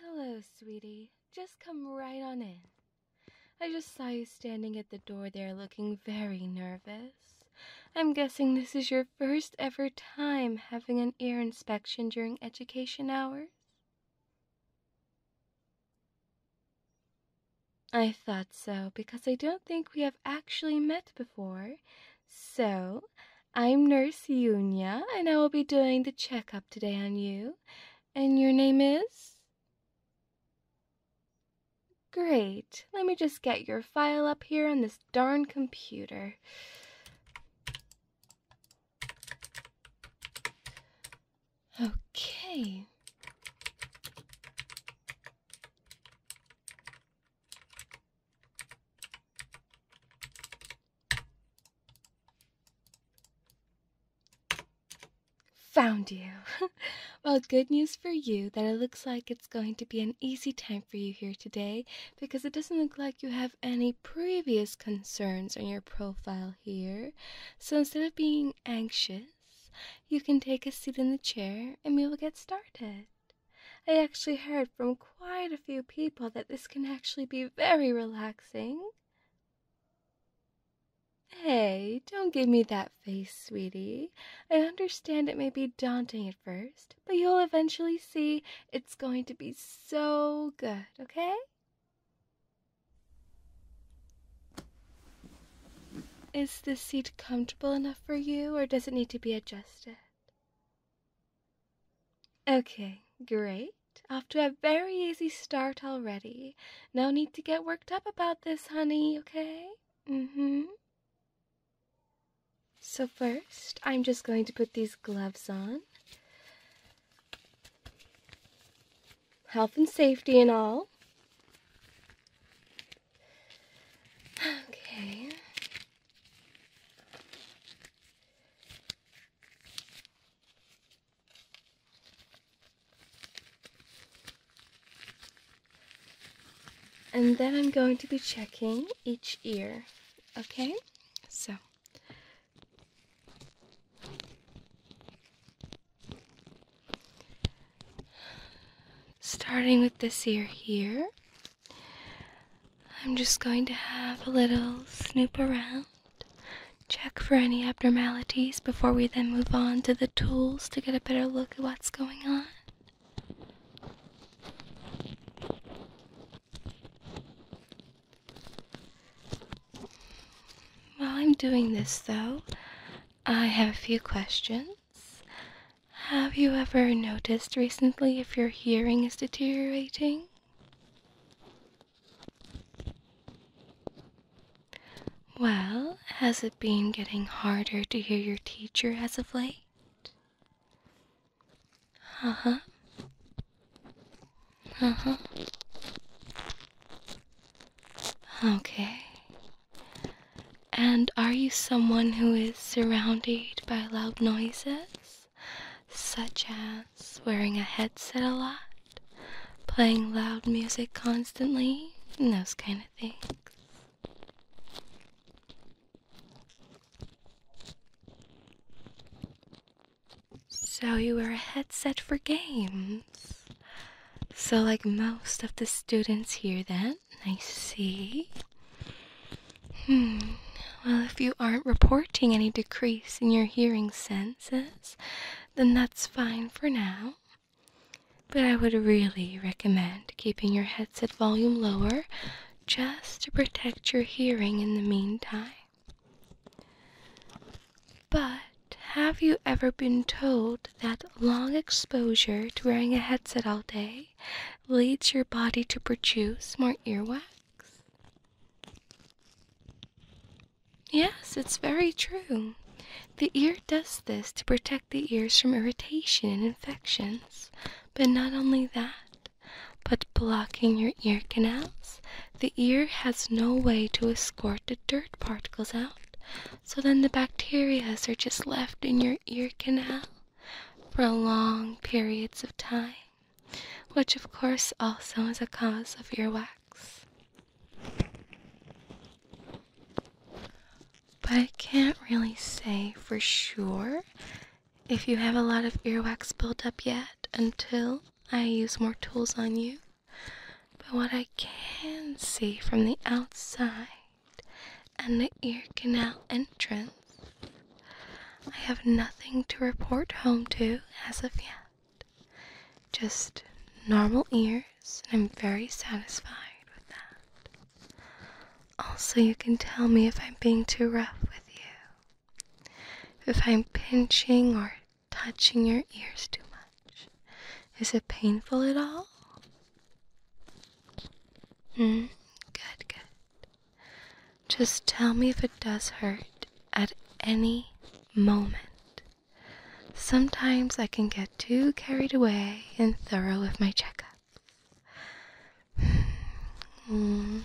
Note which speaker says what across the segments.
Speaker 1: Hello, sweetie. Just come right on in. I just saw you standing at the door there looking very nervous. I'm guessing this is your first ever time having an ear inspection during education hours. I thought so because I don't think we have actually met before, so, I'm Nurse Yunya, and I will be doing the checkup today on you. And your name is? Great. Let me just get your file up here on this darn computer. Okay. Found you. well, good news for you that it looks like it's going to be an easy time for you here today because it doesn't look like you have any previous concerns on your profile here. So instead of being anxious, you can take a seat in the chair and we will get started. I actually heard from quite a few people that this can actually be very relaxing. Hey, don't give me that face, sweetie. I understand it may be daunting at first, but you'll eventually see it's going to be so good, okay? Is this seat comfortable enough for you, or does it need to be adjusted? Okay, great. Off to a very easy start already. No need to get worked up about this, honey, okay? Mm hmm. So, first, I'm just going to put these gloves on. Health and safety and all. Okay. And then I'm going to be checking each ear, okay? So. Starting with this ear here, I'm just going to have a little snoop around, check for any abnormalities before we then move on to the tools to get a better look at what's going on. While I'm doing this, though, I have a few questions. Have you ever noticed recently if your hearing is deteriorating? Well, has it been getting harder to hear your teacher as of late? Uh huh. Uh huh. Okay. And are you someone who is surrounded by loud noises? such as wearing a headset a lot, playing loud music constantly, and those kind of things. So you wear a headset for games. So like most of the students here then, I see. Hmm. Well, if you aren't reporting any decrease in your hearing senses, then that's fine for now. But I would really recommend keeping your headset volume lower just to protect your hearing in the meantime. But have you ever been told that long exposure to wearing a headset all day leads your body to produce more earwax yes it's very true the ear does this to protect the ears from irritation and infections but not only that but blocking your ear canals the ear has no way to escort the dirt particles out so then the bacterias are just left in your ear canal for long periods of time, which of course also is a cause of earwax. But I can't really say for sure if you have a lot of earwax built up yet until I use more tools on you. But what I can see from the outside and the ear canal entrance I have nothing to report home to as of yet. Just normal ears, and I'm very satisfied with that. Also, you can tell me if I'm being too rough with you, if I'm pinching or touching your ears too much. Is it painful at all? Hmm, good, good. Just tell me if it does hurt at any moment. Sometimes I can get too carried away and thorough with my checkups. Mm.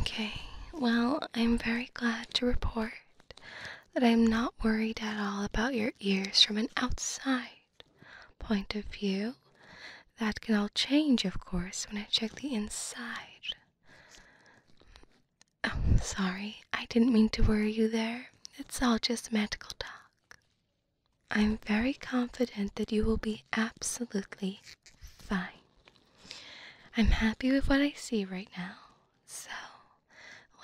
Speaker 1: Okay, well, I'm very glad to report that I'm not worried at all about your ears from an outside point of view. That can all change, of course, when I check the inside I'm oh, sorry. I didn't mean to worry you there. It's all just magical talk. I'm very confident that you will be absolutely fine. I'm happy with what I see right now, so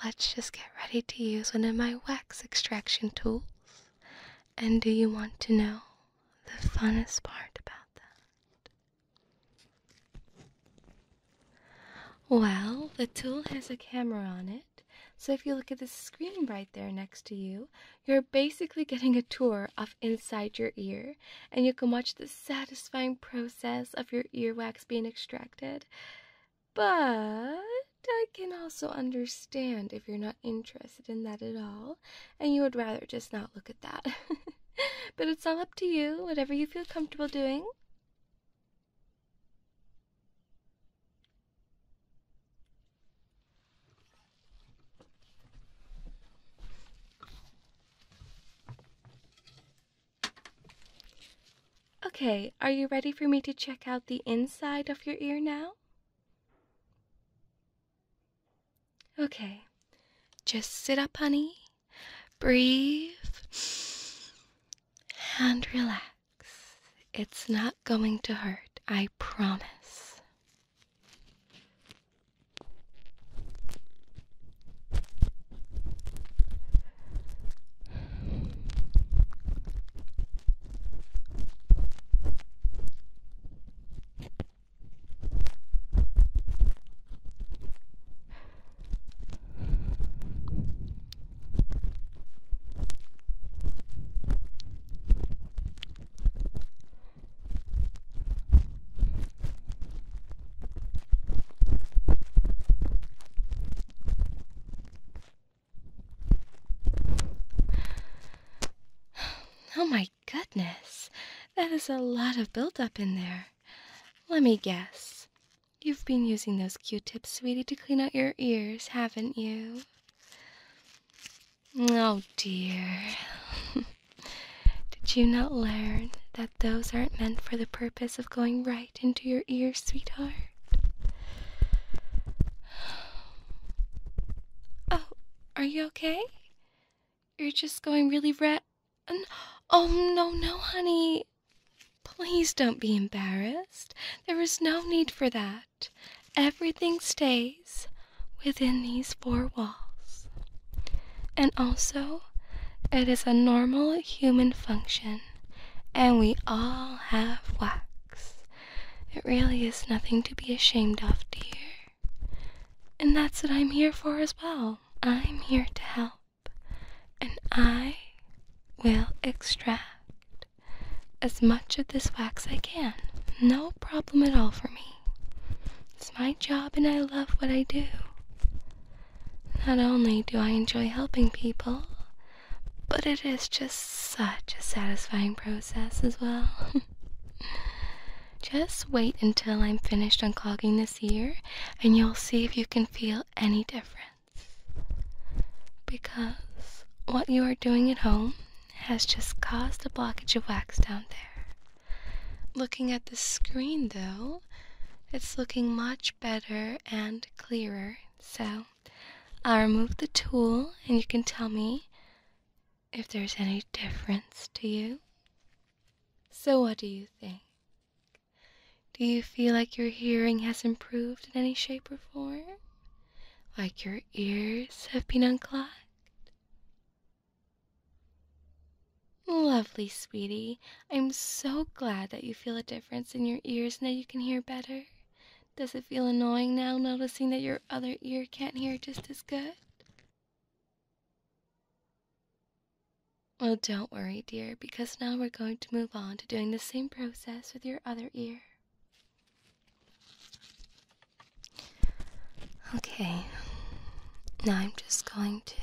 Speaker 1: let's just get ready to use one of my wax extraction tools. And do you want to know the funnest part about that? Well, the tool has a camera on it, so if you look at the screen right there next to you, you're basically getting a tour of inside your ear, and you can watch the satisfying process of your earwax being extracted. But I can also understand if you're not interested in that at all, and you would rather just not look at that. but it's all up to you, whatever you feel comfortable doing. Okay, are you ready for me to check out the inside of your ear now? Okay, just sit up, honey, Breathe and relax. It's not going to hurt, I promise. Oh my goodness, that is a lot of buildup in there. Let me guess. You've been using those q tips, sweetie, to clean out your ears, haven't you? Oh dear. Did you not learn that those aren't meant for the purpose of going right into your ear, sweetheart? Oh, are you okay? You're just going really rat. Oh, no, no, honey. Please don't be embarrassed. There is no need for that. Everything stays within these four walls. And also, it is a normal human function, and we all have wax. It really is nothing to be ashamed of, dear. And that's what I'm here for as well. I'm here to help and I will extract as much of this wax I can. No problem at all for me. It's my job, and I love what I do. Not only do I enjoy helping people, but it is just such a satisfying process as well. just wait until I'm finished unclogging this this year and you'll see if you can feel any difference. Because what you are doing at home has just caused a blockage of wax down there. Looking at the screen though, it's looking much better and clearer. So I'll remove the tool and you can tell me if there's any difference to you. So, what do you think? Do you feel like your hearing has improved in any shape or form? Like your ears have been unclogged? Lovely, sweetie. I'm so glad that you feel a difference in your ears now. you can hear better. Does it feel annoying now noticing that your other ear can't hear just as good? Well, don't worry, dear, because now we're going to move on to doing the same process with your other ear. Okay, now I'm just going to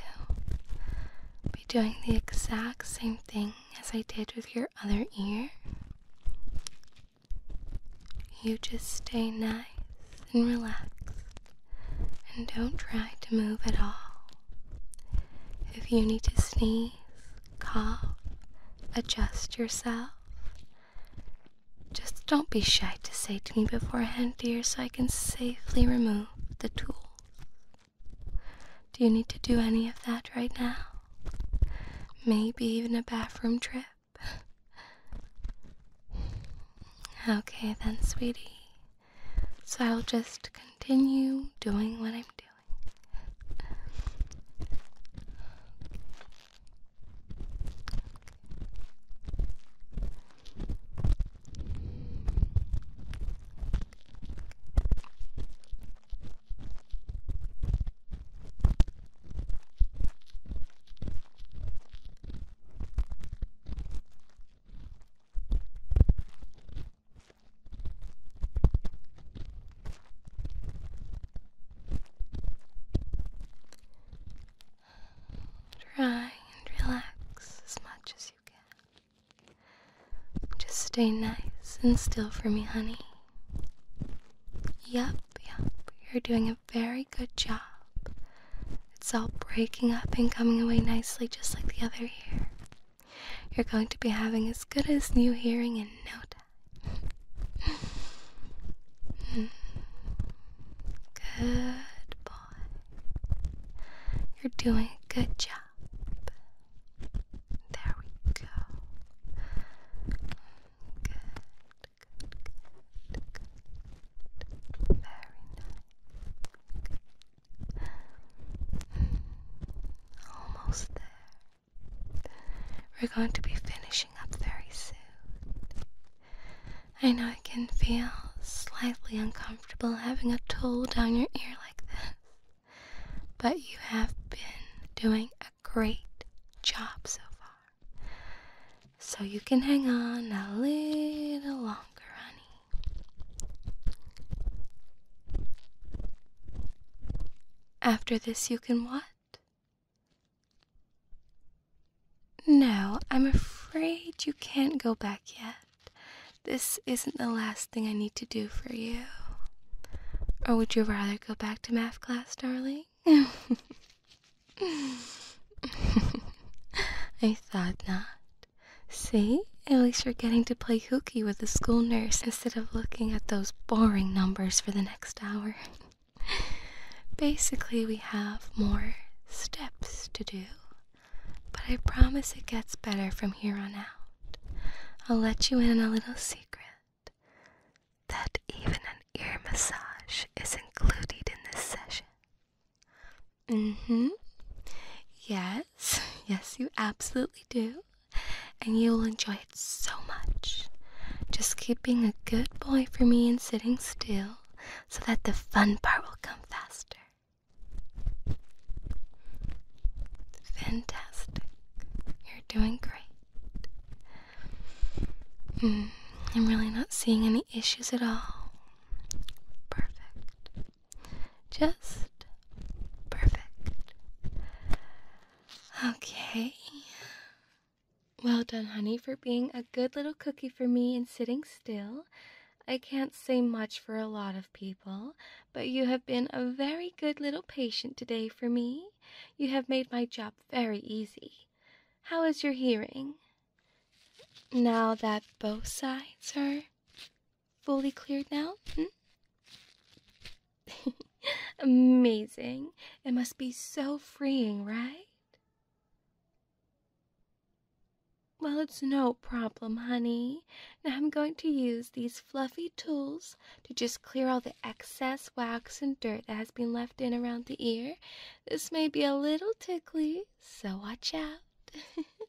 Speaker 1: be doing the exact same thing as I did with your other ear. You just stay nice and relaxed and don't try to move at all. If you need to sneeze, cough, adjust yourself, just don't be shy to say to me beforehand, dear, so I can safely remove the tool. Do you need to do any of that right now? Maybe even a bathroom trip? okay then, sweetie. So I'll just continue doing what I'm doing. Try and relax as much as you can. Just stay nice and still for me, honey. Yup, yup, you're doing a very good job. It's all breaking up and coming away nicely, just like the other ear. You're going to be having as good as new hearing in no time. good boy. You're doing a good job. There we go. Good, Very nice. Almost there. We're going to be finishing up very soon. I know it can feel slightly uncomfortable having a tool down your ear like this, but you have been doing a great job so far. So you can hang on a little longer, honey. After this, you can what? No, I'm afraid you can't go back yet. This isn't the last thing I need to do for you. Or would you rather go back to math class, darling? I thought not. See? At least you're getting to play hooky with the school nurse instead of looking at those boring numbers for the next hour. Basically, we have more steps to do, but I promise it gets better from here on out. I'll let you in on a little secret that even an ear massage is included in this session. Mm hmm. Yes, yes, you absolutely do. And you will enjoy it so much. Just keep being a good boy for me and sitting still so that the fun part will come faster. Fantastic. You're doing great. Mm, I'm really not seeing any issues at all. Perfect. Just perfect. Okay. Well done, honey, for being a good little cookie for me and sitting still. I can't say much for a lot of people, but you have been a very good little patient today for me. You have made my job very easy. How is your hearing? Now that both sides are fully cleared now? Hmm? Amazing. It must be so freeing, right? Well, it's no problem, honey. Now I'm going to use these fluffy tools to just clear all the excess wax and dirt that has been left in around the ear. This may be a little tickly, so watch out.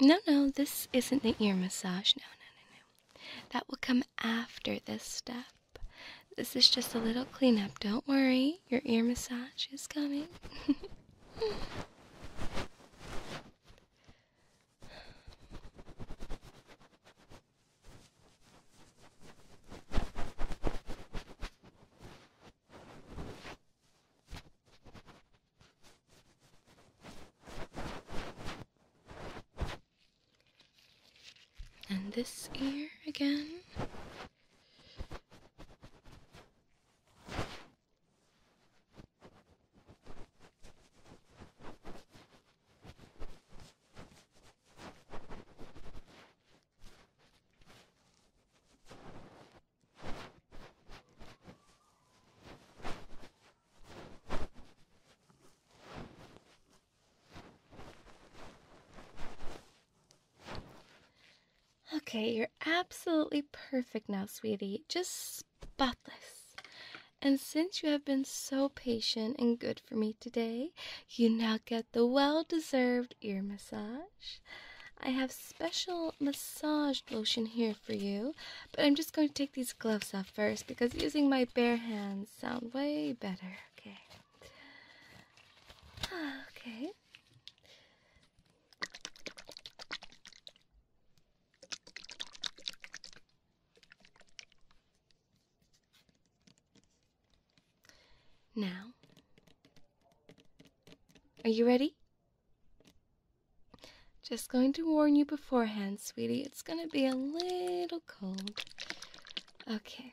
Speaker 1: No, no, this isn't the ear massage. No, no, no, no. That will come after this step. This is just a little cleanup. Don't worry, your ear massage is coming. And this ear again. Okay, you're absolutely perfect now, sweetie. Just spotless. And since you have been so patient and good for me today, you now get the well deserved ear massage. I have special massage lotion here for you. But I'm just going to take these gloves off first because using my bare hands sound way better. Okay. Okay. Now, are you ready? Just going to warn you beforehand, sweetie, it's going to be a little cold. Okay.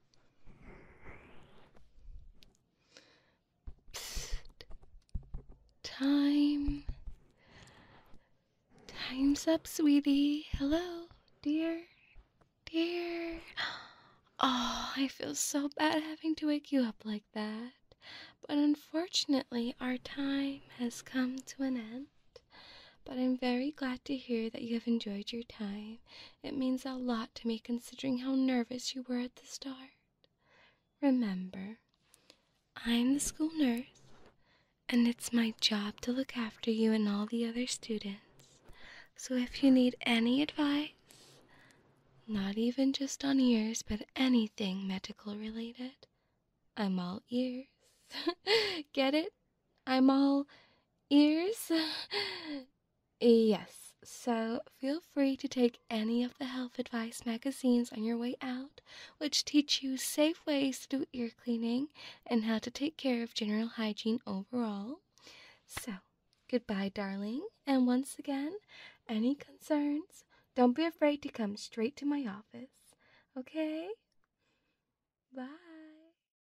Speaker 1: Time. Time's up, sweetie. Hello, dear. Dear. Oh, I feel so bad having to wake you up like that. But unfortunately, our time has come to an end but I'm very glad to hear that you have enjoyed your time. It means a lot to me considering how nervous you were at the start. Remember, I'm the school nurse, and it's my job to look after you and all the other students. So if you need any advice, not even just on ears, but anything medical related, I'm all ears. Get it? I'm all ears. yes, so feel free to take any of the health advice magazines on your way out, which teach you safe ways to do ear cleaning and how to take care of general hygiene overall. So, goodbye, darling, and once again, any concerns, don't be afraid to come straight to my office, okay? Bye.